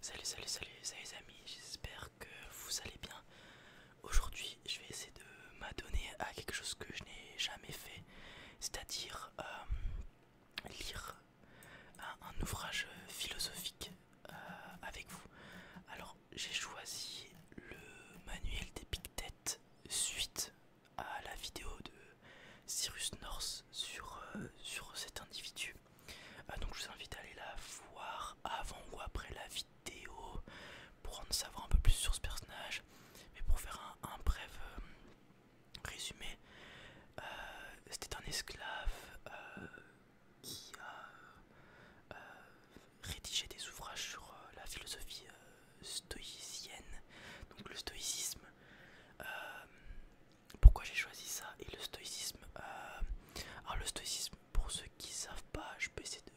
Salut, salut, salut, salut les amis, j'espère que vous allez bien. Aujourd'hui, je vais essayer de m'adonner à quelque chose que je n'ai jamais fait, c'est-à-dire euh, lire un, ouvrage philosophique euh, avec vous. Alors, j'ai choisi le manuel des d'Épictète suite à la vidéo de Cyrus North sur euh, cet individu euh, donc je vous invite à aller la voir avant ou après la vidéo pour en savoir un peu plus sur ce personnage. Mais pour faire un, bref euh, résumé, euh, c'était un esclave qui a rédigé des ouvrages sur la philosophie stoïcienne, donc le stoïcisme. Pourquoi j'ai choisi ça et le stoïcisme euh, Alors le stoïcisme, pour ceux qui savent pas, je peux essayer de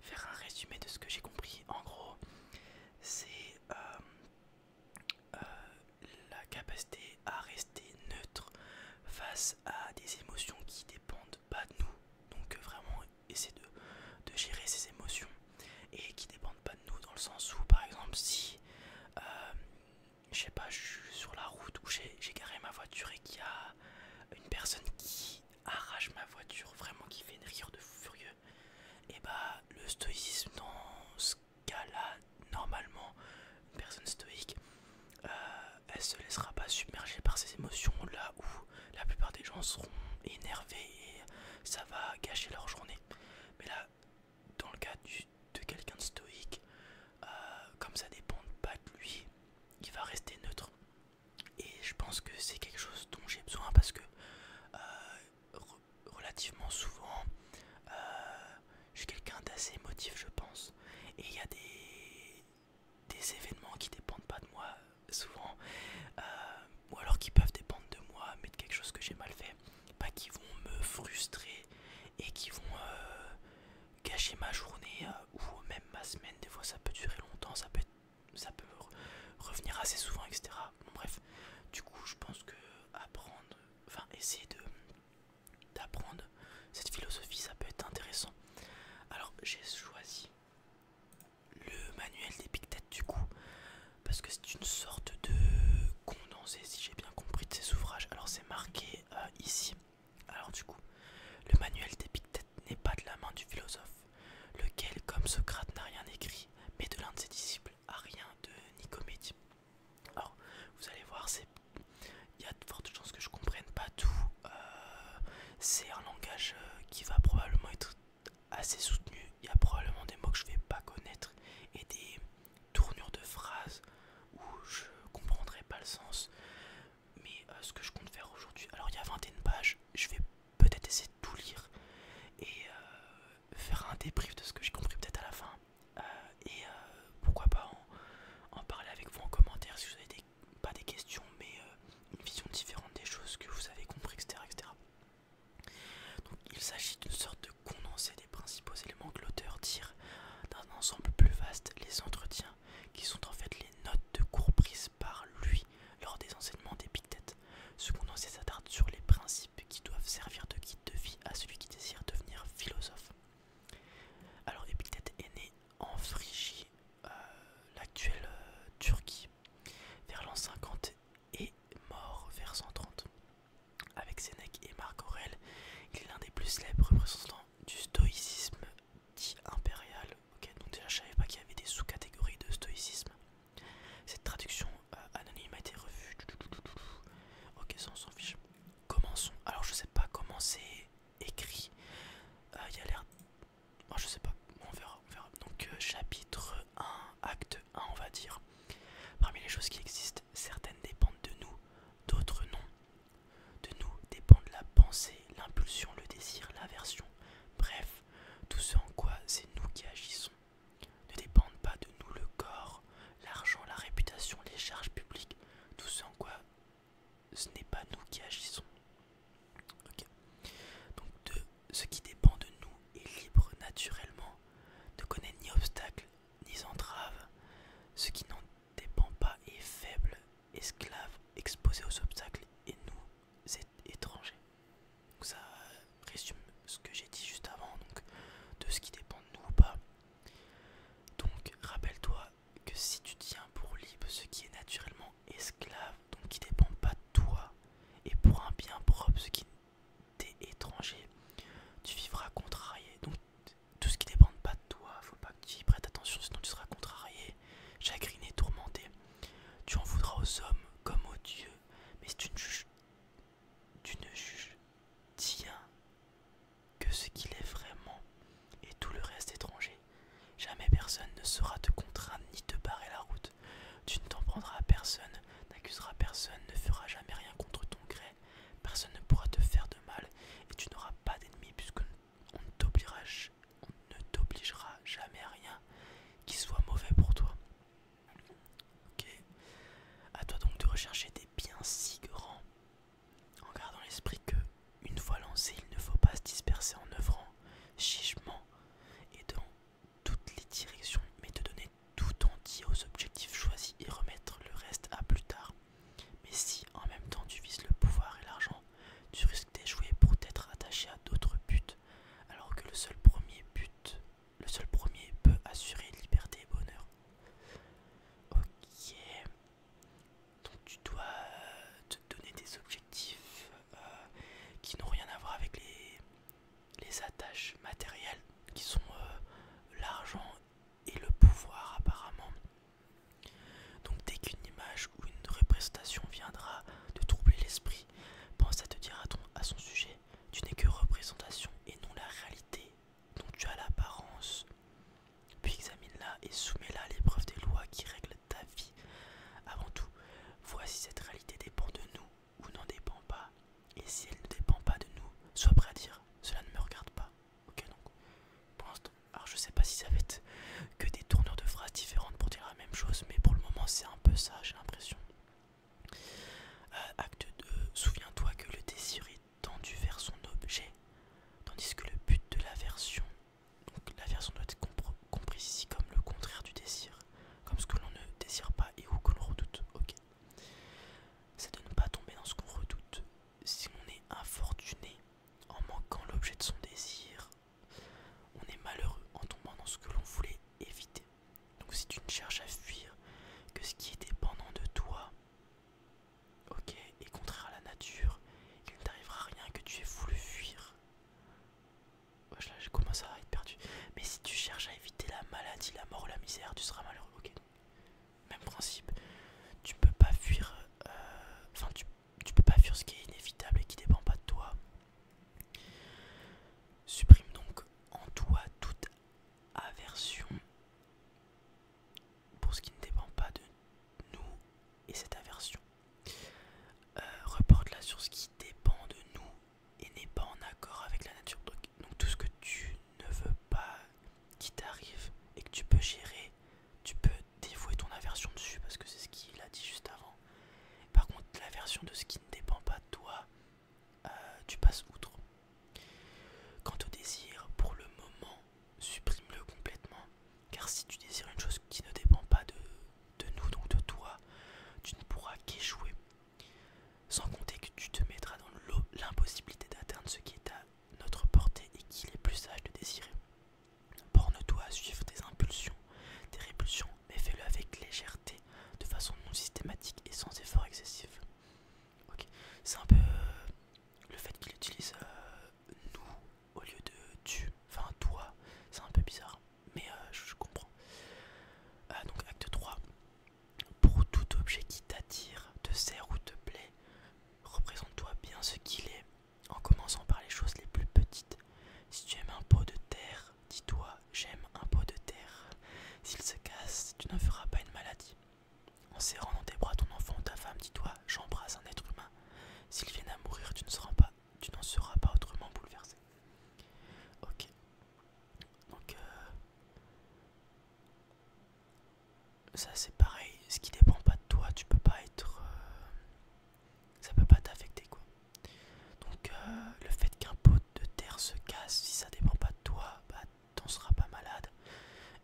faire un résumé de ce que j'ai compris. En gros, c'est euh, euh, la capacité à rester neutre face à des émotions qui dépendent pas de nous. Donc vraiment essayer de, de gérer ces émotions et qui dépendent pas de nous dans le sens où par exemple si je sais pas, je suis sur la route où j'ai garé ma voiture et qu'il y a une personne qui arrache ma voiture, vraiment qui fait une rire de furieux. Et bah, le stoïcisme dans ce cas-là, normalement, une personne stoïque, euh, elle se laissera pas submerger par ces émotions là où la plupart des gens seront énervés et ça va gâcher leur journée. Mais là, dans le cas de quelqu'un de stoïque, euh, comme ça dépend pas de lui, il va rester neutre. Et je pense que c'est quelque chose dont j'ai besoin parce que euh, relativement souvent, euh, je suis quelqu'un d'assez émotif, je pense. Et il y a des, événements qui dépendent pas de moi souvent, ou alors qui peuvent dépendre de moi, mais de quelque chose que j'ai mal fait, pas qui vont me frustrer et qui vont gâcher ma journée euh, ou même ma semaine. Des fois, ça peut durer longtemps, ça peut, revenir assez souvent, etc. bref, du coup, je pense que apprendre, enfin, essayer de d'apprendre cette philosophie, ça peut être intéressant. Alors, j'ai choisi le manuel des du coup, parce que c'est une sorte de condensé, si j'ai bien compris, de ces ouvrages. Alors, c'est marqué euh, ici. Alors du coup, le manuel d'Épictète n'est pas de la main du philosophe, lequel, comme Socrate, n'a rien écrit, mais de l'un de ses disciples, rien de Nicomédie. Alors, vous allez voir, il y a de fortes chances que je ne comprenne pas tout. Euh, c'est un langage euh, qui va probablement être assez soutenu. Il y a probablement des mots que je ne vais pas connaître et des tournure de phrase où je comprendrais pas le sens. Mais euh, ce que je compte faire aujourd'hui, alors il y a 21 pages, je vais peut-être essayer de tout lire et euh, faire un débrief de ce que j'ai compris peut-être à la fin. Euh, et pourquoi pas en, parler avec vous en commentaire si vous avez pas des questions, mais une vision différente des choses que vous avez compris, etc. etc. Donc il s'agit d'une sorte de condenser des principaux éléments que l'auteur tire d'un ensemble plus vaste, les entretiens, qui sont en fait les notes de cours prises par lui lors des enseignements d'Épictète, se ses en sur les principes qui doivent servir de guide de vie à celui qui désire devenir philosophe. Alors Épictète est né en Phrygie, euh, l'actuelle euh, Turquie, vers l'an 50 et mort vers 130. Avec Sénèque et Marc Aurèle, il est l'un des plus célèbres représentants du stoïcisme dit impérial. Ok, donc déjà je savais pas qu'il y avait des sous-catégories de stoïcisme. Cette traduction euh, anonyme a été revue. Ok, ça s'en fiche. Commençons. Alors je sais pas comment c'est écrit. Euh, il y a l'air. Moi je sais pas. on verra, Donc euh, chapitre 1, acte 1 on va dire. Parmi les choses qui existent, certaines dépendent de nous, d'autres non. De nous dépendent la pensée, l'impulsion, le désir, l'aversion, bref, tout ce en quoi c'est nous qui agissons. Ne dépendent pas de nous le corps, l'argent, la réputation, les charges publiques, tout ce en quoi ce n'est pas nous qui agissons. Donc de ce qui dépend de nous est libre naturellement, ne connaît ni obstacle ni entrave, ce qui n'en dépend pas et faible, esclave, exposé aux obstacles et nous étrangers. Donc ça résume ce que j'ai dit juste avant, donc de ce qui dépend de nous ou pas. Donc rappelle-toi que si tu tiens pour libre ce qui est naturellement esclave, donc qui dépend pas de toi, et pour un bien propre ce qui t'est étranger, tu vivras contrarié tout ce qui dépend pas de toi, faut pas que tu y prêtes attention sinon tu seras contrarié, chagriné, tourmenté. Tu en voudras aux hommes comme aux dieux, mais si tu ne juges, tu ne juges, tiens, que ce qu'il est vraiment et tout le reste étranger. Jamais personne ne saura te contraindre ni te barrer la route. Tu ne t'en prendras à personne, n'accuseras personne, ne feras jamais rien contre ton gré, Personne ne pourra te faire de mal et tu n'auras pas d'ennemis puisqu'on ne t'obligera jamais à rien qui soit mauvais pour toi. Ok. À toi donc de rechercher des biens si grands en gardant l'esprit que, une fois lancé, il ne faut pas se disperser en œuvrant chichement et dans toutes les directions, mais te donner tout entier aux objectifs choisis et remettre le reste à plus tard. Mais si en même temps tu vises le pouvoir et l'argent, tu risques d'échouer pour t'être attaché à d'autres buts, alors que le seul premier but, le seul premier peut assurer liberté et bonheur. Ok. Donc tu dois te donner des objectifs euh, qui n'ont rien à voir avec les, attaches matérielles qui sont euh, l'argent et le pouvoir apparemment. Donc dès qu'une image ou une représentation viendra de troubler l'esprit, pense à te dire à son sujet, tu n'es que représentation et non la réalité dont tu as l'apparence. Puis examine-la et soumets-la à l'épreuve des lois qui règlent ta vie. Avant tout, voici cette réalité dépend de nous ou n'en dépend pas. Et si elle ne dépend pas de nous, sois prêt à dire, cela ne me regarde pas. Ok, donc je sais pas si ça va être que des tournures de phrases différentes pour dire la même chose, mais pour le moment, c'est un peu ça, j'ai l'impression. Euh, acte 2, souviens-toi que le désir est tendu vers son objet, tandis que le but de la version, la version doit être compris ici comme le contraire du désir, comme ce que l'on ne désire pas et où que l'on redoute. C'est de ne pas tomber dans ce qu'on redoute, si on est infortuné en manquant l'objet de son désir, on est malheureux en tombant dans ce que l'on voulait éviter. Donc si tu ne cherches à fuir que ce qui est dépendant de toi, ok, et contraire à la nature, il ne t'arrivera rien que tu aies voulu fuir. Là, je commence à être perdu. Mais si tu cherches à éviter la maladie, la mort, la misère, tu seras malheureux. Ok, même principe. Tu peux euh, peux pas fuir ce qui est inévitable et qui dépend pas de toi. Supprime donc en toi toute aversion pour ce qui ne dépend pas de nous et cette aversion. Euh, reporte-la sur ce qui dépend de nous et n'est pas en accord avec la nature. donc tout ce que tu ne veux pas qui t'arrive et que tu peux gérer, tu peux dévouer ton aversion dessus parce que c'est ce qu'il a dit juste avant. Par contre, l'aversion de ce qui ne dépend pas de toi, euh, tu passes outre. Quant au désir, pour le moment, supprime-le complètement. Car si tu désires une chose qui ne dépend pas de, de nous, donc de toi, tu ne pourras qu'échouer. Sans compter que tu te mettras dans l'impossibilité d'atteindre ce qui est à notre portée et qu'il est plus sage de désirer. Borne-toi à suivre des impulsions, des répulsions, mais fais-le avec légèreté, de façon non systématique et sans effort excessif. c'est un peu euh, le fait qu'il utilise euh, nous au lieu de tu, enfin toi, c'est un peu bizarre, mais euh, je, comprends. donc, acte 3. Pour tout objet qui t'attire, te sert ou te plaît, représente-toi bien ce qu'il est en commençant par les choses les plus petites. Si tu aimes un pot de terre, dis-toi j'aime un pot de terre. S'il se casse, tu ne feras pas une maladie. En serrant dans tes bras ton enfant ou ta femme, dis-toi j'embrasse un être humain. S'il vient à mourir, tu ne seras pas, tu n'en seras pas autrement bouleversé. Ok. Donc euh, ça c'est pareil, ce qui dépend pas de toi, tu peux pas être. Euh, ça peut pas t'affecter quoi. Donc euh, le fait qu'un pot de terre se casse, si ça dépend pas de toi, bah t'en seras pas malade.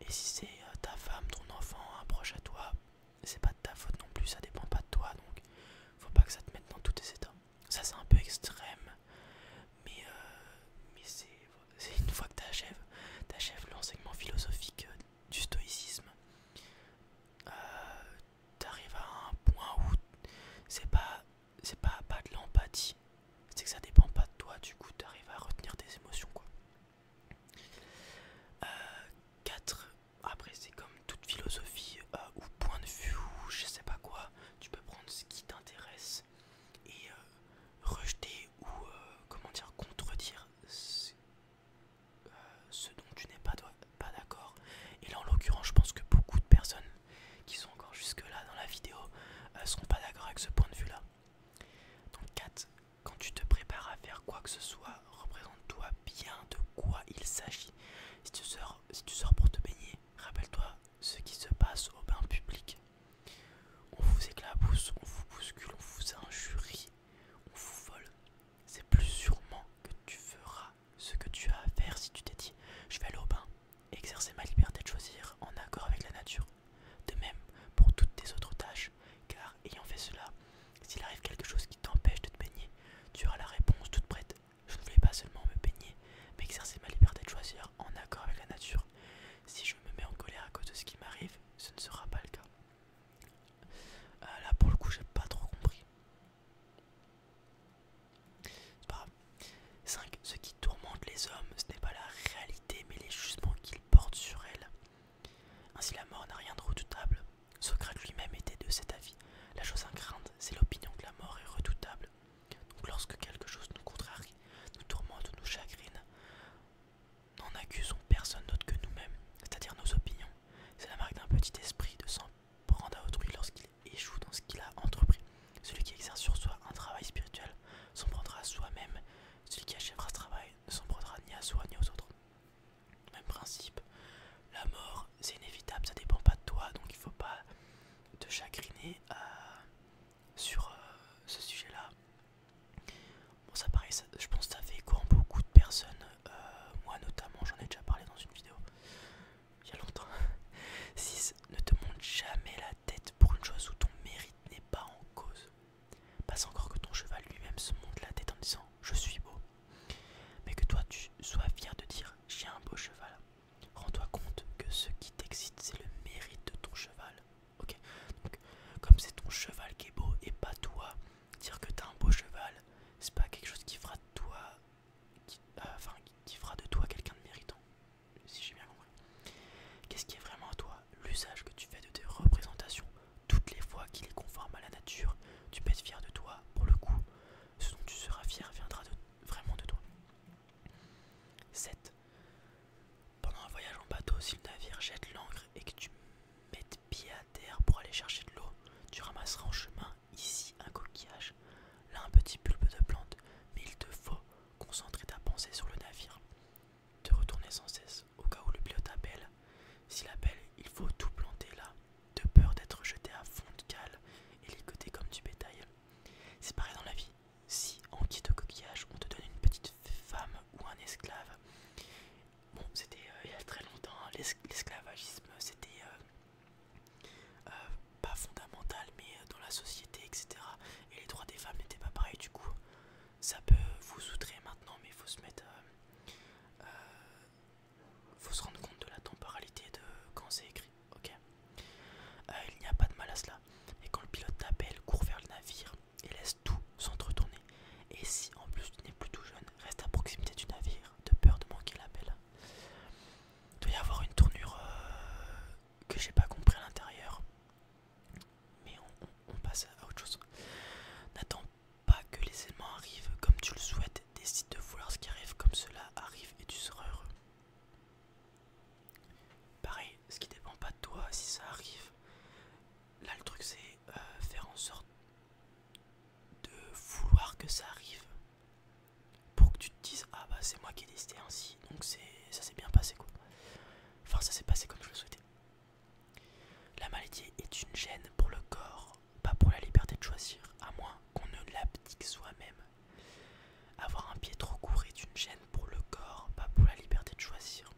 Et si c'est euh, ta femme, ton enfant, un proche à toi, c'est pas de ta faute non plus, ça dépend pas de toi donc faut pas que ça te mette dans tous tes états. Ça c'est un peu extrême, mais, mais c'est une fois que t'achèves, t'achèves l'enseignement philosophique du stoïcisme, euh, t'arrives à un point où c'est pas c'est pas pas de l'empathie, c'est que ça dépend pas de toi. Du coup, t'arrives à retenir tes émotions quoi. 4. Euh, après, c'est comme toute philosophie euh, ou point de vue ou je sais pas quoi. Tu peux prendre ce qui t'intéresse et rejeter ou comment dire contredire euh, ce dont tu n'es pas, d'accord. Et en l'occurrence, je pense que beaucoup de personnes qui sont encore jusque-là dans la vidéo Ne euh, seront pas d'accord avec ce point de vue-là. Donc 4. Quand tu te prépares à faire quoi que ce soit, représente-toi bien de quoi il s'agit. Si, si tu sors pour te baigner, rappelle-toi ce qui se passe au bain public. On vous éclabousse, on vous bouscule, on vous injurie, on vous vole c'est plus sûrement que tu feras ce que tu as à faire si tu t'es dit je vais aller au bain, exercer ma liberté de choisir en accord avec la nature. De même pour toutes tes autres tâches, car ayant fait cela, s'il arrive quelque chose qui t'empêche de te baigner, tu auras la réponse toute prête. Je ne voulais pas seulement me baigner, mais exercer ma liberté de choisir en accord avec la nature. Si je me mets en colère à cause de ce qui m'arrive, ce ne sera pas le cas. Euh, là pour le coup j'ai pas trop compris. C'est pas grave. 5. Ce qui tourmente les hommes, ce n'est pas la réalité mais les jugements qu'ils portent sur elle. Ainsi la mort n'a rien de redoutable. Socrate lui-même était de cet avis. La chose incrainte, c'est l'opinion que la mort est redoutable. Donc lorsque quelque chose nous contrarie, nous tourmente ou nous chagrine, « N'en accusons personne d'autre que nous-mêmes, c'est-à-dire nos opinions. C'est la marque d'un petit esprit de s'en prendre à autrui lorsqu'il échoue dans ce qu'il a entrepris. Celui qui exerce sur soi un travail spirituel s'en prendra à soi-même. Celui qui achèvera ce travail ne s'en prendra ni à soi ni aux autres. Même principe. La mort, c'est inévitable, ça dépend pas de toi, donc il ne faut pas te chagriner euh, sur euh, ce sujet-là. Bon ça paraît je pense que ça fait écho beaucoup de personnes, euh, moi notamment, j'en ai déjà parlé dans une vidéo, il y a longtemps. 6. Ne te monte jamais la tête pour une chose où ton mérite n'est pas en cause. Passe encore que ton cheval lui-même se monte la tête en disant je suis beau. Mais que toi tu sois fier de dire j'ai un beau cheval. Rends-toi compte que ce qui t'excite c'est le mérite de ton cheval. Ok, comme c'est ton cheval qui est beau et pas toi, Dire que t'as un beau cheval, c'est pas quelque chose qui fera de toi, euh, fera de toi quelqu'un de méritant, si j'ai bien compris. Qu'est-ce qui est vraiment à toi L'usage que tu fais de tes représentations, toutes les fois qu'il est conforme à la nature, tu peux être fier de toi, pour le coup, ce dont tu seras fier viendra vraiment de toi. 7. Pendant un voyage en bateau, si le navire jette l'ancre et que tu mettes bien pour aller chercher de l'eau. Tu ramasseras en chemin ici un coquillage, là un petit pulpe de plante, mais il te faut concentrer ta pensée sur le navire. Te retourner sans cesse au cas où le pilote appelle. S'il appelle, il faut tout planter là, de peur d'être jeté à fond de cale et ligoté comme du bétail. C'est pareil dans la vie. Si en quitte de coquillage on te donne une petite femme ou un esclave, Bon, c'était euh, il y a très longtemps, hein, l'esclavagisme c'était euh, euh, pas fondamental mais dans la société, etc. Et les droits des femmes n'étaient pas pareils du coup. Ça peut vous outrer maintenant mais il faut se mettre... il faut se rendre compte de la temporalité de quand c'est écrit, ok Il n'y a pas de mal à cela. Et quand le pilote t'appelle, court vers le navire et laisse tout s'entretourner. Et si en plus tu n'es plus tout jeune, reste à proximité du navire, de peur de manquer l'appel. Il doit y avoir une tournure euh, que j'ai pas compris à l'intérieur. Mais on, passe à autre chose. N'attends pas que les éléments arrivent comme tu le souhaites. Décide de vouloir ce qui arrive comme cela arrive et tu seras heureux. Pareil, ce qui dépend pas de toi, si ça arrive. Là, le truc, c'est euh, faire en sorte de vouloir que ça arrive pour que tu te dises ah bah c'est moi qui ai décidé ainsi donc c'est ça s'est bien passé quoi enfin ça s'est passé comme je le souhaitais la maladie est une gêne pour le corps pas pour la liberté de choisir à moins qu'on ne l'abdique soi-même avoir un pied trop court est une gêne pour le corps pas pour la liberté de choisir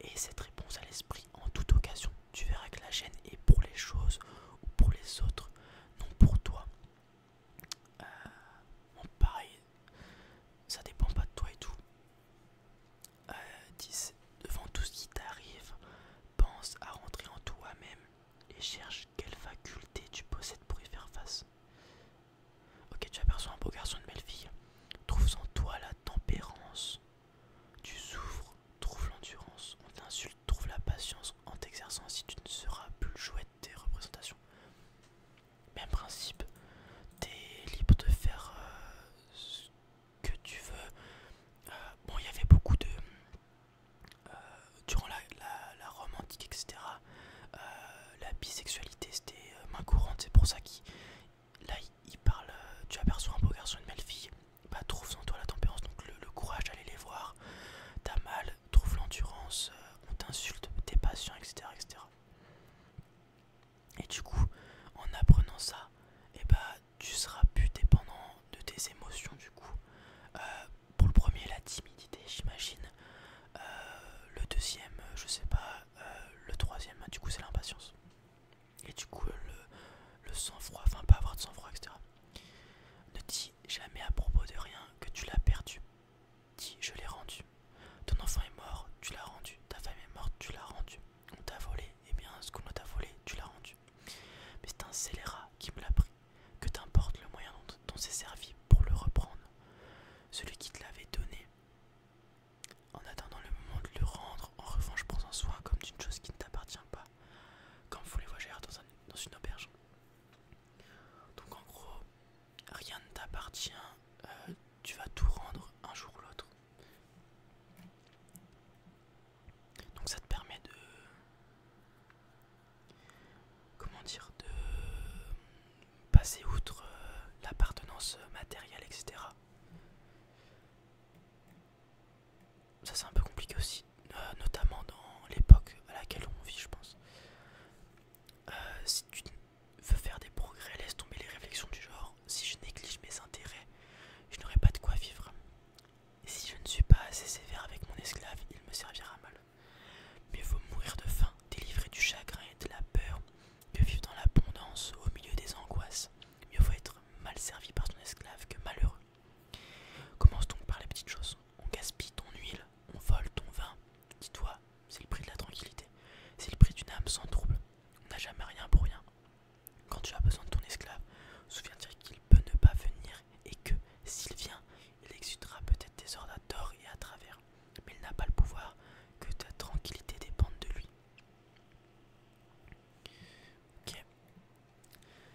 et cette réponse à l'esprit en toute occasion tu verras que la chaîne est pour les choses ou pour les autres, non pour toi. Euh, pareil, ça dépend pas de toi et tout. Euh, devant tout ce qui t'arrive, pense à rentrer en toi-même et cherche quelle faculté tu possèdes pour y faire face. Ok, tu aperçois un beau garçon, de belle fille. Trouve en toi la tempérance, tu souffres, trouve l'endurance, on t'insulte, trouve la patience en t'exerçant si tu ne seras plus le jouet de tes représentations. Même principe, t'es libre de faire euh, ce que tu veux. Euh, bon, il y avait beaucoup de... Euh, durant la, romantique, etc., la bisexualité c'était main courante, c'est pour ça qu'il... Là, il, parle, tu aperçois un beau garçon et une belle fille, bah, trouve en toi la tempérance, donc le, courage d'aller les voir. T'as mal, trouve l'endurance, euh, on t'insulte, t'es patient, etc., etc. Et du coup, en apprenant ça, et eh bah, tu seras plus dépendant de tes émotions, du coup. Euh, pour le premier, la timidité, j'imagine. Euh, le deuxième, je sais pas. le troisième, bah, du coup, c'est l'impatience et du coup le, sang-froid, enfin pas avoir de sang-froid, etc. Ne dis jamais à propos de rien que tu l'as perdu. Dis je l'ai rendu. Ton enfant est mort, tu l'as rendu. Ta femme est morte, tu l'as rendu. On t'a volé, et eh bien ce qu'on t'a volé, tu l'as rendu. Mais c'est un scélérat qui me l'a pris. Que t'importe le moyen dont, on s'est servi pour le reprendre. Celui qui te l'avait donné. En attendant le moment de le rendre, en revanche, prends en soin comme d'une chose qui ne t'appartient pas comme vous les voyez dans, une auberge. Donc en gros, rien ne t'appartient, euh, tu vas tout rendre un jour ou l'autre. Donc ça te permet de... Comment dire De passer outre euh, l'appartenance matérielle, etc ça c'est un peu compliqué aussi, euh, notamment dans l'époque à laquelle on vit, je pense. Euh, si tu veux faire des progrès, laisse tomber les réflexions du genre. Si je néglige mes intérêts, je n'aurai pas de quoi vivre. Et si je ne suis pas assez sévère avec mon esclave, il me servira mal. Mieux vaut mourir de faim, délivré du chagrin et de la peur, que vivre dans l'abondance au milieu des angoisses. Mieux vaut être mal servi par son esclave que malheureux. Commence donc par les petites choses. On gaspille ton huile, on vole ton vin. Dis-toi, c'est le prix de la tranquillité. C'est le prix d'une âme sans trouble. On n'a jamais rien pour rien. Quand tu as besoin de ton esclave, souviens-toi qu'il peut ne pas venir et que, s'il vient, il exudera peut-être tes ordres à tort et à travers. Mais il n'a pas le pouvoir, que ta tranquillité dépende de lui.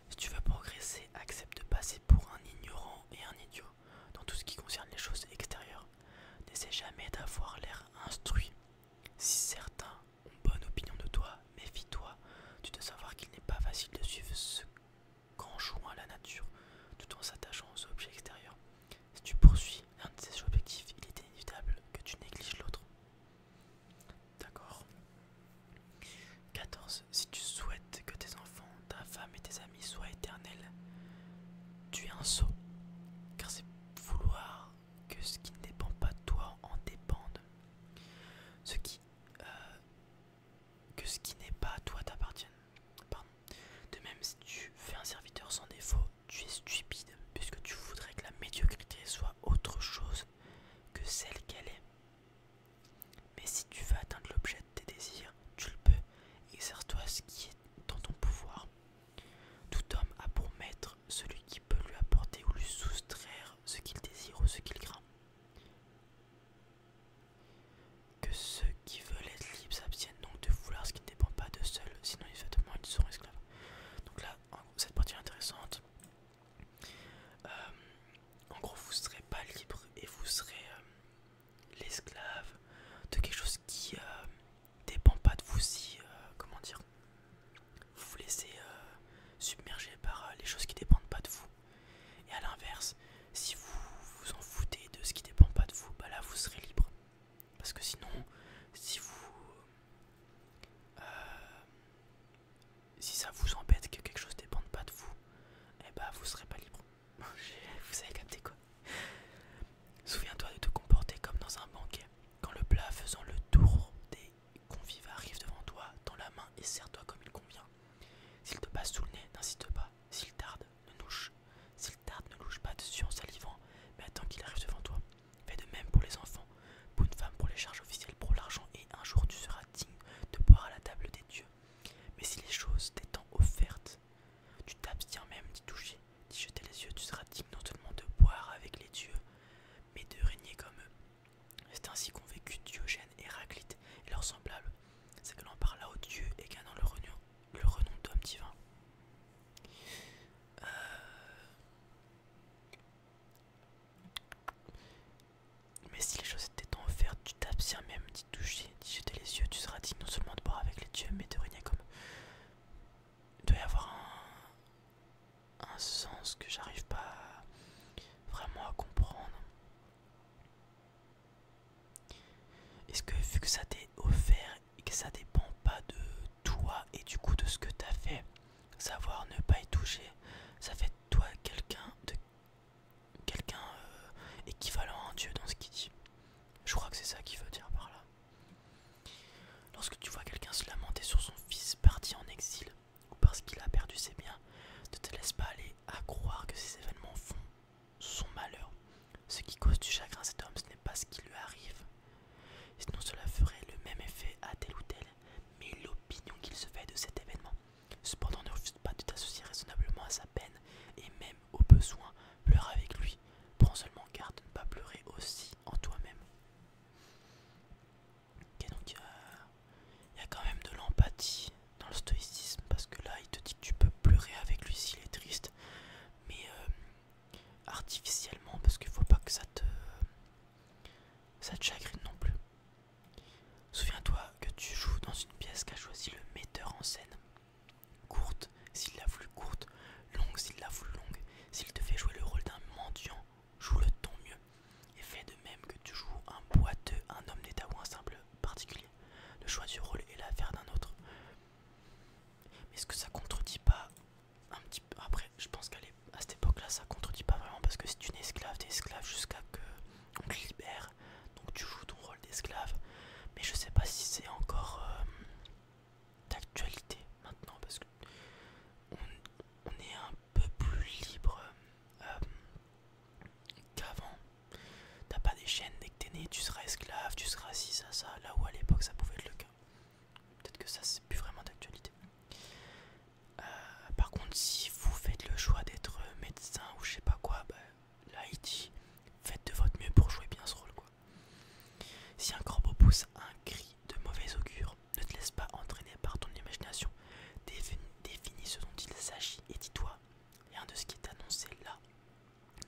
Si tu veux progresser, accepte de passer pour un ignorant et un idiot dans tout ce qui concerne les choses extérieures. N'essaie jamais d'avoir l'air instruit. Si certains ont bonne opinion de toi, méfie-toi. Tu dois savoir qu'il n'est pas facile de suivre ce qu'enjoint la nature tout en s'attachant aux objets extérieurs. Si tu poursuis un de ces objectifs, il est inévitable que tu négliges l'autre. D'accord. 14. Si tu souhaites que tes enfants, ta femme et tes amis soient éternels, tu es un sot, car c'est vouloir que ce qui ne dépend pas de toi en dépende. Ce qui, euh, que ce qui n'est pas à toi t'appartienne. De même, si tu fais un serviteur sans défaut, tu es stupide, puisque tu voudrais que la médiocrité soit autre chose que celle qu'elle est. Mais si tu veux atteindre l'objet de tes désirs, tu le peux, exerce-toi ce qui est dans ton pouvoir. Tout homme a pour maître celui qui peut lui apporter ou lui soustraire ce qu'il désire ou ce qu'il craint. Que ceux qui veulent être libres s'abstiennent donc de vouloir ce qui ne dépend pas d'eux seuls, sinon ils sont esclaves. Donc là, cette partie intéressante. Euh, en gros, vous ne serez pas libre et vous serez euh, l'esclave de quelque chose qui euh, dépend pas de vous si, comment dire, vous vous laissez submerger par les choses qui dépendent pas de vous. Et à l'inverse, si vous vous en foutez de ce qui dépend pas de vous, bah là vous serez libre. Parce que sinon, si vous si ça vous embête que quelque chose dépende pas de vous, eh ben vous serez pas libre. vous avez capté quoi Souviens-toi de te comporter comme dans un banquet. Quand le plat faisant le tour des convives arrive devant toi, dans la main et serre-toi comme il convient. S'il te passe sous le nez, n'insiste pas. S'il tarde, ne louche. S'il tarde, ne louche pas dessus en salivant, mais attends qu'il arrive devant toi. Fais de même pour les enfants, pour une femme pour les charges officielles, pour l'argent un jour tu seras digne de boire à la table des dieux. Mais si les choses t'étant offertes, tu t'abstiens même d'y toucher, d'y jeter les yeux, tu seras digne non seulement de boire avec les dieux, mais de régner comme eux. C'est ainsi qu'ont vécu Diogène, et Héraclite et leurs semblables. C'est que l'on parla aux dieux et gagnant le renom, le renom d'homme divin. Euh, mais si les choses étaient offertes, tu t'abstiens même d'y toucher, d'y jeter les yeux, tu seras dit non seulement de boire avec les dieux, mais de rien comme. Il doit y avoir un, un sens que j'arrive pas vraiment à comprendre. Est-ce que vu que ça t'est offert et que ça dépend pas de toi et du coup de ce que t'as fait, savoir ne pas y toucher, ça fait de toi quelqu'un de quelqu'un euh, équivalent à dieu dans ce qu'il dit. Je crois que c'est ça qu'il veut dire par là. Lorsque tu vois quelqu'un se lamenter sur son fils parti en exil ou parce qu'il a perdu ses biens, ne te laisse pas aller à croire que ces événements font son malheur. Ce qui cause du chagrin à cet homme, ce n'est pas ce qui lui arrive. Sinon cela ferait le même effet à tel ou tel, mais l'opinion qu'il se fait de cet événement. Cependant ne refuse pas de t'associer raisonnablement à sa peine et même au besoin pleure avec lui. Prends seulement garde de ne pas pleurer aussi en toi-même. Ok donc il y, a quand même de l'empathie dans le stoïcisme parce que là il te dit que tu peux pleurer avec lui s'il est triste mais euh, artificiellement parce qu'il ne faut pas que ça te ça te chagrine non plus Souviens-toi que tu joues dans une pièce qu'a choisi le metteur en scène. Courte s'il la voulu courte, longue s'il la voulu longue. S'il te fait jouer le rôle d'un mendiant, joue-le ton mieux. Et fais de même que tu joues un boiteux, un homme d'état ou un simple particulier. Le choix du rôle est l'affaire d'un autre. Mais est-ce que ça contredit pas un petit peu Après, je pense qu'à cette époque-là, ça contredit pas vraiment parce que c'est une esclave, des esclaves jusqu'à que on libère, donc tu joues ton rôle d'esclave. Mais je sais pas si c'est encore euh, d'actualité maintenant parce que on, est un peu plus libre euh, qu'avant. T'as pas des chaînes dès que t'es né, tu seras esclave, tu seras assis ça, ça, là où à l'époque ça pouvait être le cas. Peut-être que ça c'est plus vraiment d'actualité. Euh, par contre, si vous faites le choix d'être médecin ou je sais pas quoi, bah, là faites de votre mieux pour jouer bien ce rôle Si un corbeau pousse un cri de mauvaise augure, ne te laisse pas entraîner par ton imagination. Définis, définis ce dont il s'agit et dis-toi rien de ce qui est annoncé là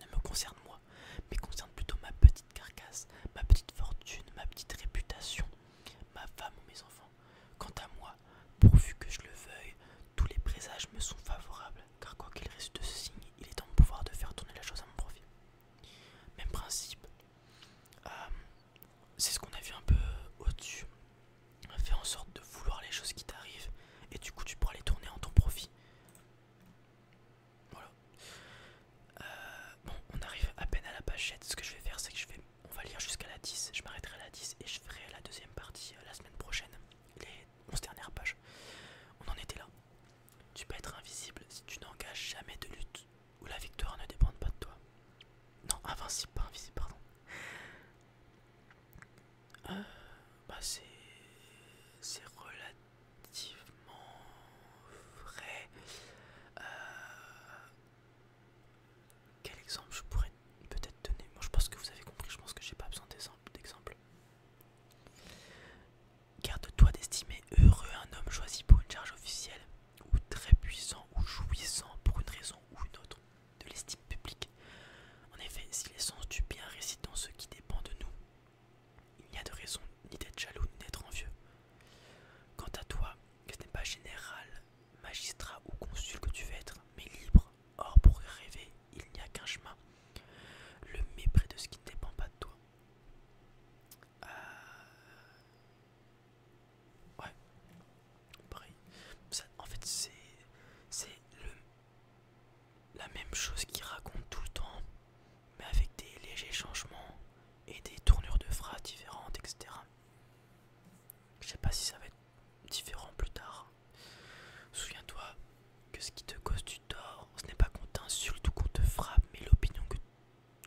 ne me concerne moi, mais concerne plutôt ma petite carcasse, ma petite fortune, ma petite réputation, ma femme ou mes enfants. Quant à moi, pourvu que je le veuille, tous les présages me sont favorables, car quoi qu'il reste de ce signe, il est en mon pouvoir de faire tourner la chose à mon profit. Même principe, euh, c'est ce qu'on a vu un peu au-dessus. Fais en sorte de vouloir les choses qui t'arrivent, et du coup tu pourras les tourner en ton profit. Voilà. Euh, bon, on arrive à peine à la bâchette. Ce que je vais faire, c'est que je vais on va lire jusqu'à la 10, je m'arrêterai à la 10 et je ferai la deuxième partie euh, la semaine prochaine, les 11 dernières pages. On en était là. Tu peux être invisible si tu n'engages jamais de lutte ou la victoire ne dépend pas de toi. Non, invincible, pas invisible, pardon. Euh, bah c'est... c'est relativement vrai. Euh, quel exemple je pourrais peut-être donner Moi je pense que vous avez compris, je pense que j'ai pas besoin d'exemple. Garde-toi d'estimer heureux un homme choisi pour une charge officielle, ou très puissant ou jouissant pour une raison ou une autre, de l'estime publique. En effet, si l'essence du bien réside dans ce qui dépend de nous, il n'y a de raison ni d'être jaloux ni d'être envieux. Quant à toi, que ce n'est pas général, magistrat ou consul que tu veux être, mais libre, Or, pour rêver, il n'y a qu'un chemin. Le mépris de ce qui ne dépend pas de toi. Euh, ouais. en fait, c'est c'est le la même chose qu'il raconte tout le temps, mais avec des légers changements et des tournures de phrases différentes, etc. Je sais pas si ça va être différent plus tard. Souviens-toi que ce qui te cause du tort, ce n'est pas qu'on t'insulte ou qu'on te frappe, mais l'opinion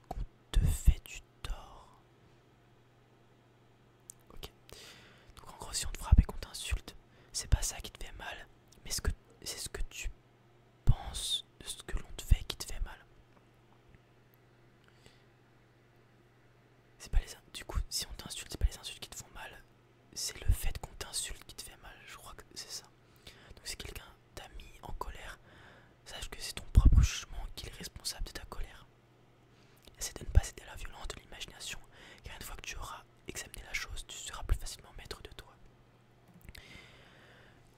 qu'on te fait du tort. Ok. Donc en gros, si on te frappe et qu'on t'insulte, c'est pas ça qui te fait mal, mais c'est ce que tu penses de ce que l'on te fait qui te fait mal. C'est pas les Du coup, si on t'insulte, c'est pas les insultes qui te font mal, c'est le fait qu'on t'insulte qui te fait mal. Je crois que c'est ça. Donc si quelqu'un t'a mis en colère, sache que c'est ton propre jugement qui est responsable de ta colère. Essaye de ne pas céder à la violence de l'imagination, car une fois que tu auras examiné la chose, tu seras plus facilement maître de toi.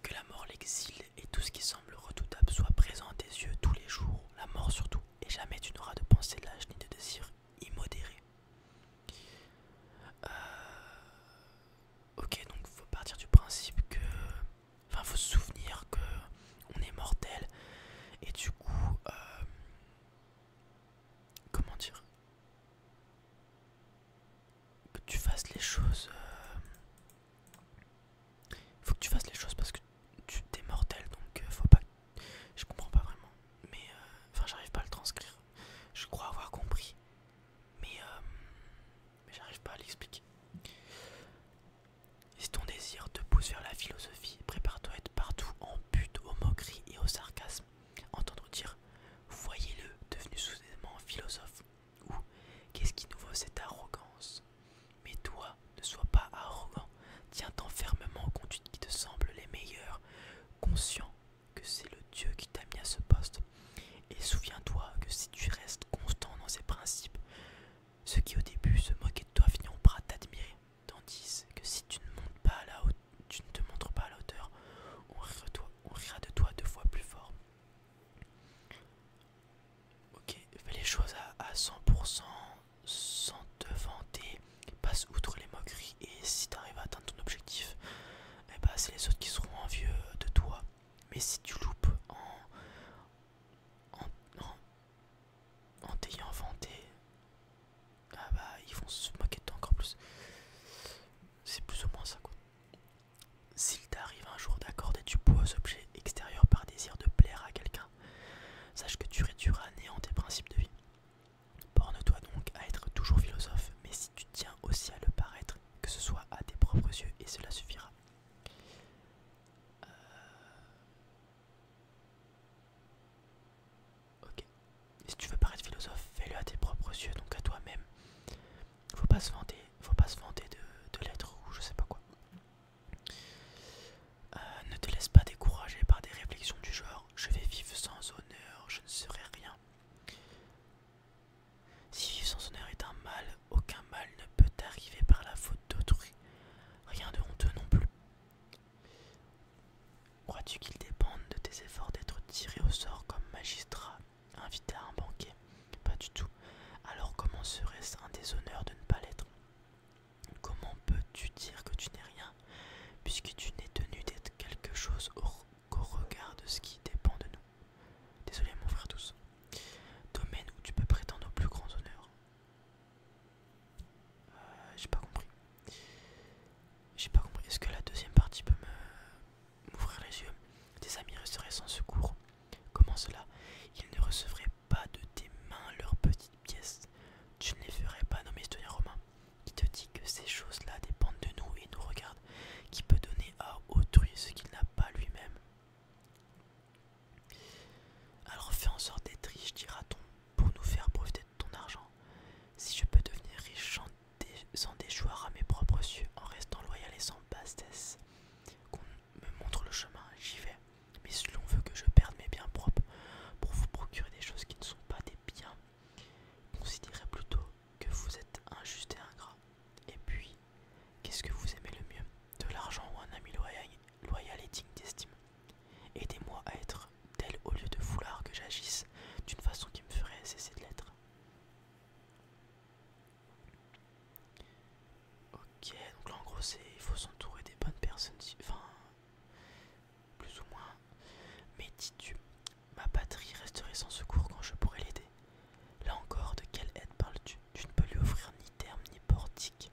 Que la mort, l'exil et tout ce qui semble redoutable soit présent à tes yeux tous les jours, la mort surtout, et jamais tu n'auras de pensée lâche ni de désir immodéré. Euh, ok, donc faut partir du principe que. Enfin, faut se souvenir que on est mortel et du coup. Euh, comment dire Que tu fasses les choses. Il euh, faut que tu fasses les choses parce que tu t'es mortel donc euh, faut pas. Je comprends pas vraiment, mais euh, enfin j'arrive pas à le transcrire. Je crois avoir compris, mais, euh, j'arrive pas à l'expliquer. Si ton désir te pousse vers la philosophie, prépare-toi à être partout en but aux moqueries et au sarcasme. Entendre dire Voyez-le devenu soudainement philosophe ou Qu'est-ce qui nous vaut cette arrogance Mais toi, ne sois pas arrogant, tiens-t'en fermement contre qui te semble les meilleurs. conscient que c'est le Dieu qui t'a mis à ce poste. Et souviens-toi que si tu restes constant dans ces principes, ceux qui au début se moquaient de toi finiront par t'admirer, tandis que si tu ne, montes pas à la tu ne te montres pas à la hauteur, on rira, de toi deux fois plus fort. Ok, fais les choses à 100%, sans te vanter, passe outre les moqueries et si tu t'arrives à atteindre ton objectif, eh bah c'est les autres qui seront envieux de toi. Mais si tu loupes en, en, t'ayant vanté, ah bah ils vont se moquer de toi encore plus. C'est plus ou moins ça quoi. S'il t'arrive un jour d'accorder du poids aux objets extérieurs par désir de plaire à quelqu'un, sache que tu réduiras à néant tes principes de vie. Borne-toi donc à être toujours philosophe, mais si tu tiens aussi à le paraître, que ce soit à tes propres yeux, et cela suffira. Euh, ok. si tu veux paraître philosophe, fais-le à tes propres yeux, donc à toi-même. Faut pas se vanter, faut pas se vanter de, de l'être ou je sais pas quoi. Euh, ne te laisse pas décourager par des réflexions du genre je vais vivre sans honneur, je ne serai rien. Si vivre sans honneur est un mal, aucun mal ne peut arriver par la faute d'autrui, rien de honteux non plus. Crois-tu qu'il dépende de tes efforts d'être tiré au sort comme magistrat, invité à un banquet Pas du tout. Alors comment serait-ce un déshonneur de ne pas l'être Comment peux-tu dire que tu n'es rien, puisque tu n'es tenu d'être quelque chose qu'au regard de ce qui dépend de nous Désolé mon frère tous. Domaine où tu peux prétendre au plus grand honneur euh, J'ai pas compris. J'ai pas compris. Est-ce que la deuxième partie peut me ouvrir les yeux Tes amis resteraient sans secours. Comment cela Ils ne recevraient pas de tes mains leur petits pièce. Tu ne les ferais pas, nommé historien romain, qui te dit que ces choses-là dépendent de nous et nous regardent, qui peut donner à autrui ce qu'il n'a pas lui-même. Alors fais en sorte d'être riche, dira-t-on, pour nous faire profiter de ton argent. Si je peux devenir riche sans déchoir à mes propres yeux, en restant loyal et sans bastesse. qu'on me montre le chemin, j'y vais. Mais si l'on veut que je perde mes biens propres, pour vous procurer des choses qui ne sont pas des biens. Considérez plutôt que vous êtes injuste et ingrat. Et puis, qu'est-ce que vous aimez le mieux De l'argent ou un ami loyal, loyal et digne d'estime Aidez-moi à être tel au lieu de vouloir que j'agisse d'une façon qui me ferait cesser de l'être. Ok, donc là en gros il faut s'entourer des bonnes personnes, plus ou moins. Mais dis-tu, ma patrie resterait sans secours quand je pourrais l'aider. Là encore, de quelle aide parles-tu Tu ne peux lui offrir ni terme ni portique.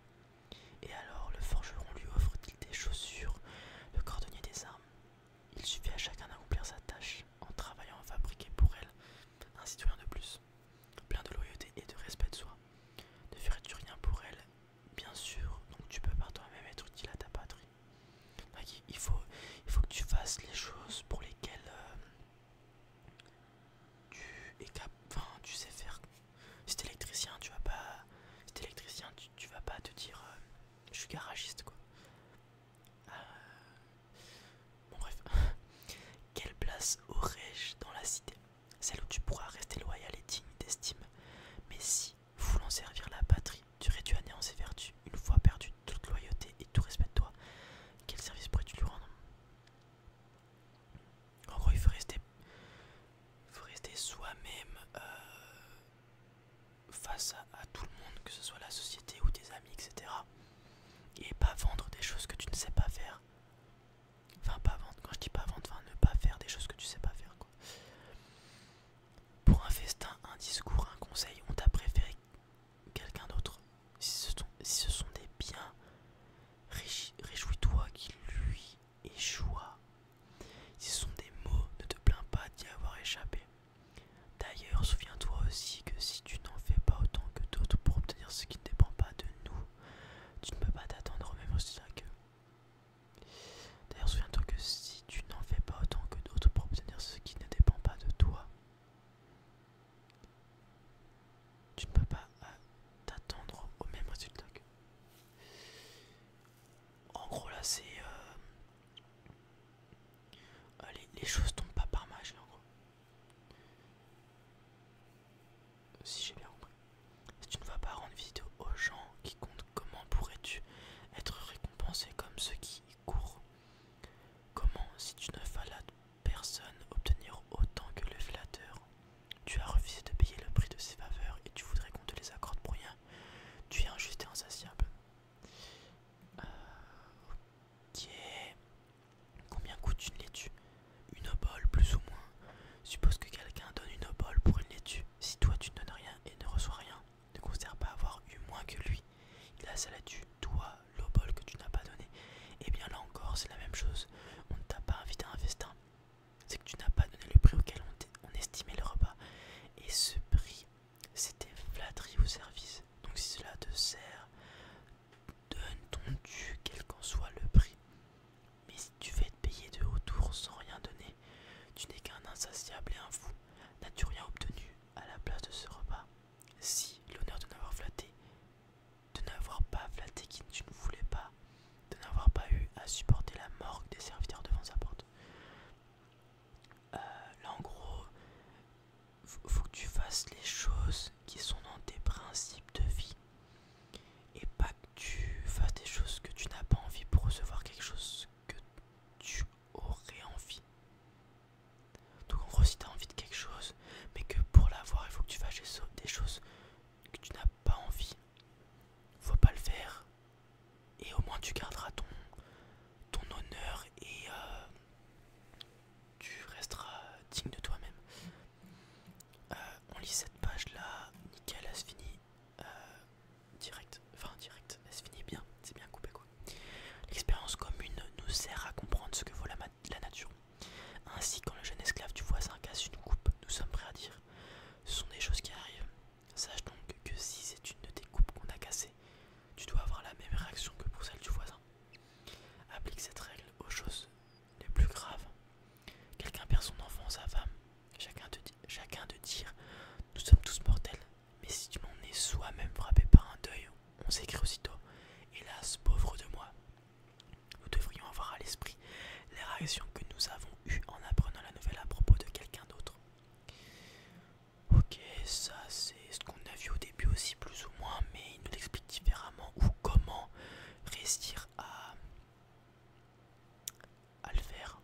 Et alors, le forgeron lui offre-t-il des chaussures, le cordonnier des armes Il suffit à chacun d'accomplir sa tâche en travaillant à fabriquer pour elle un citoyen de plus, plein de loyauté et de respect de soi. Ne ferais-tu rien pour elle bien sûr, donc tu peux par toi-même être utile à ta patrie. il, faut, que tu fasses les choses pour lesquelles euh, tu es capable. tu sais faire. Si électricien, tu vas pas. électricien, tu, vas pas te dire euh, je suis garagiste quoi. Euh, Quelle place aurais-je dans la cité Celle où tu pourras rester loyal et digne d'estime. Mais si voulant servir la patrie, tu réduis à néant ses vertus, une fois perdu toute loyauté et tout respect de toi. Quel service pourrais-tu lui rendre En gros, il faut rester, faut rester soi-même euh, face à, tout le monde, que ce soit la société ou tes amis, etc. Et pas vendre des choses que tu ne sais pas faire. Enfin, pas vendre, quand je dis pas vendre, enfin ne pas faire des choses que tu ne sais pas faire, pour un festin, un discours, un conseil, on t'a préféré quelqu'un d'autre. Si, ce sont des biens, réjouis-toi qu'il lui échoue. Si ce sont des mots, ne te plains pas d'y avoir échappé. D'ailleurs, souviens-toi aussi que si tu n'en fais pas autant que d'autres pour obtenir ce qui ne dépend pas de nous, tu ne peux pas t'attendre au même résultat queue. D'ailleurs, souviens-toi que si tu n'en fais pas autant que d'autres pour obtenir ce qui ne dépend pas de toi, tu ne peux pas euh, t'attendre au même résultat que. En gros, là, c'est. allez euh, euh, Les, choses tombent pas par magie, en gros. Si j'ai bien compris. Si tu ne vas pas rendre visite aux gens qui comptent comment pourrais-tu être récompensé comme ceux qui y courent Comment, si tu ne la personne, obtenir autant que le flatteur Tu as refusé de payer le prix de ses faveurs et tu voudrais qu'on te les accorde pour rien. Tu es injuste et insatiable. Euh, ok. Combien coûte une laitue Une obole, plus ou moins. Suppose que quelqu'un donne une obole pour une laitue. Si toi tu ne donnes rien et ne reçois rien, ne considère pas avoir eu moins que lui. Il a du doigt toi, l'obol que tu n'as pas donné. Et eh bien là encore, c'est la même chose. On ne t'a pas invité à un festin. C'est que tu n'as pas donné le prix auquel on, estimait le repas. Et ce prix, c'était flatterie au service. Donc si cela te sert, donne ton dû, quel qu'en soit le prix. Mais si tu veux te payer de tour sans rien donner, tu n'es qu'un insatiable et un fou. N'as-tu rien obtenu à la place de ce repas Si, l'honneur de n'avoir flatté, de n'avoir pas flatté qui tu ne voulais pas, de n'avoir pas eu à supporter la morgue des serviteurs devant sa porte. Euh, là, en gros, faut, faut que tu fasses les choses qui sont dans tes principes de vie et pas que tu fasses des choses que tu n'as pas envie pour recevoir quelque chose que tu aurais envie. Donc en gros si tu envie de quelque chose, mais que pour l'avoir il faut que tu fasses des choses que tu n'as pas envie, faut pas le faire. Et au moins tu garderas ton, honneur et euh, tu resteras digne de toi-même. Euh, on lit cette page là, nickel, fini. Euh, direct, enfin direct, elle se finit bien, c'est bien coupé quoi. L'expérience commune nous sert à comprendre ce que vaut la, nature. Ainsi, quand le jeune esclave du voisin casse une coupe, nous sommes prêts à dire ce sont des choses qui arrivent. Sache donc que si c'est une de tes coupes qu'on a cassée, tu dois avoir la même réaction que pour celle du voisin. Applique cette règle aux choses les plus graves. Quelqu'un perd son enfant, sa femme. Chacun de, chacun de dire Nous sommes tous mortels, mais si tu m'en es soi-même frappé par un deuil, on s'écrit aussitôt Hélas, pauvre de moi Nous devrions avoir à l'esprit les réactions que nous avons eues en apprenant la nouvelle à propos de quelqu'un d'autre. Ok, ça c'est ce qu'on a vu au début aussi, plus ou moins, mais il nous l'explique différemment ou comment réussir à à faire.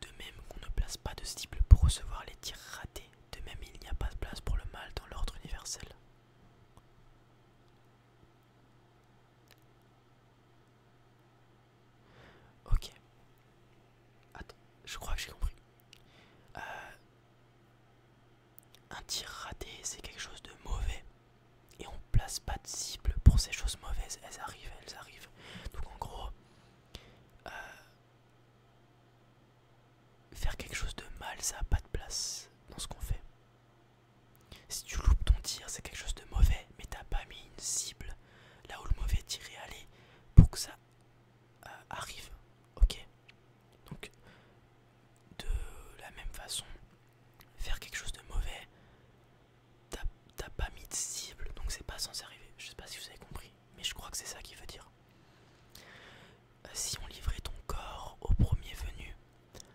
De même qu'on ne place pas de cible pour recevoir les tirs ratés, de même il n'y a pas de place pour le mal dans l'ordre universel. Ok. Attends, je crois que j'ai compris. Euh, un tir raté, c'est quelque chose de mauvais. Et on place pas de cible pour ces choses mauvaises. Elles arrivent, elles arrivent. Donc en gros, euh, faire quelque chose de mal, ça n'a pas de place dans ce qu'on fait. Si tu loupes ton tir, c'est quelque chose de mauvais, mais t'as pas mis une cible là où le mauvais tir est allé pour que ça euh, arrive. Ok Donc, de la même façon, faire quelque chose de mauvais, T'as pas mis de cible, donc c'est pas censé arriver. Je sais pas si vous avez compris, mais je crois que c'est ça qui veut dire. Euh, si on livrait ton corps au premier venu,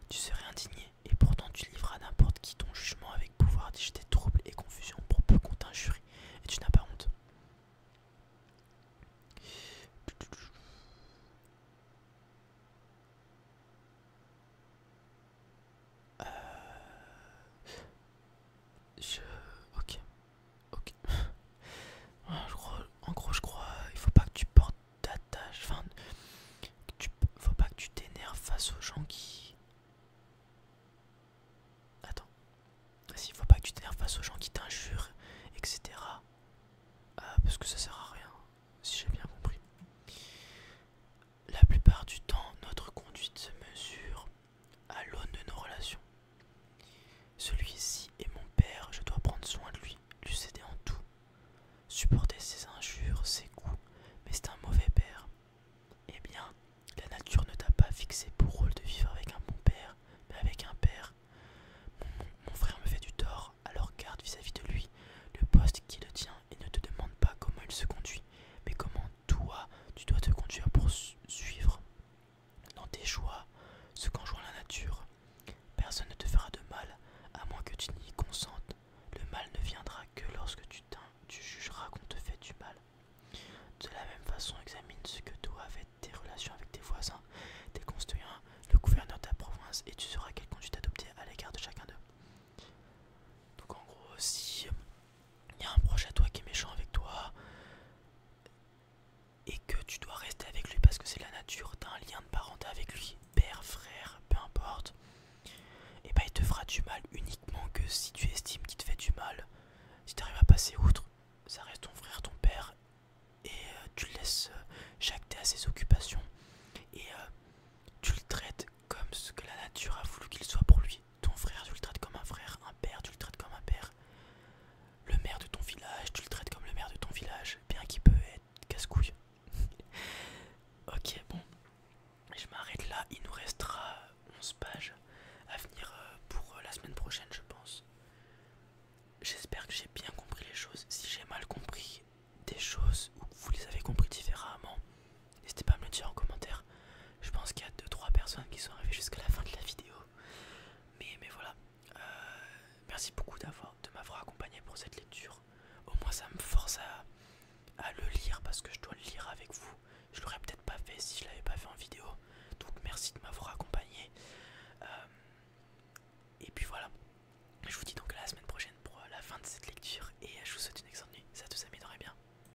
tu serais indigné, et pourtant tu livreras n'importe qui ton jugement avec pouvoir jeter trouble et confusion pour peu qu'on t'injure et tu n'as pas honte. Euh... Je... Ok. Ok. Ah, en gros, je crois... Il faut pas que tu portes ta tâche Enfin... Tu... Faut pas que tu t'énerves face aux gens qui... Attends. S'il faut pas que tu t'énerves face aux gens qui t'injurent, etc. Ah, parce que ça sert à rien, si j'ai bien compris. La plupart du temps, notre conduite se mesure à l'aune de nos relations. Celui-ci est mon père, je dois prendre soin de lui, lui céder en tout, supporter ses injures, ses coups, mais c'est un mauvais père. Eh bien, la nature ne t'a pas fixé pour rôle de vivre avec un bon père, mais avec un père. Mon, frère me fait du tort, alors garde vis-à-vis de lui le poste qui le tient et ne te demande pas comment il se conduit, mais comment « Toi, tu dois te conduire pour suivre dans tes choix ce qu'enjoint la nature. Personne ne te fera de mal, à moins que tu n'y consentes. Le mal ne viendra que lorsque tu, tu jugeras qu'on te fait du mal. De la même façon, examine ce que doivent être tes relations avec tes voisins, tes concitoyens, le gouverneur de ta province, et tu sauras quelle conduite adopter à l'égard de chacun d'eux. Donc en gros, si il y a un proche à toi qui est méchant avec toi et que tu dois rester avec lui parce que c'est la nature, t'as un lien de parenté avec lui, père, frère, peu importe, et bah il te fera du mal uniquement que si tu estimes qu'il te fait du mal. Si t'arrives à passer outre, ça reste ton frère, ton père, et euh, tu le laisses euh, chaque à ses occupations, et euh, tu le traites comme ce que la nature a voulu qu'il soit pour lui. Ton frère, tu le traites comme un frère. Un père, tu le traites comme un père. Le maire de ton village, tu le traites comme le maire de ton village. Bien qu'il peut être casse-couille. ok, bon. Je m'arrête là. Il nous restera 11 pages à venir euh, pour euh, la semaine prochaine, je pense. J'espère que j'ai bien compris les choses. Si j'ai mal compris des choses ou que vous les avez compris différemment, N'hésitez pas à me le dire en commentaire. Je pense qu'il y a 2-3 personnes qui sont arrivées jusqu'à la fin de la vidéo. Mais, voilà. Euh, merci beaucoup d'avoir de m'avoir accompagné pour cette lecture. Au moins ça me force à, le lire parce que je dois le lire avec vous. Je l'aurais peut-être pas fait si je l'avais pas fait en vidéo. Donc merci de m'avoir accompagné. Euh, et puis voilà. Je vous dis donc à la semaine prochaine pour la fin de cette lecture. Et je vous souhaite une excellente nuit. Ça vous amis, bien.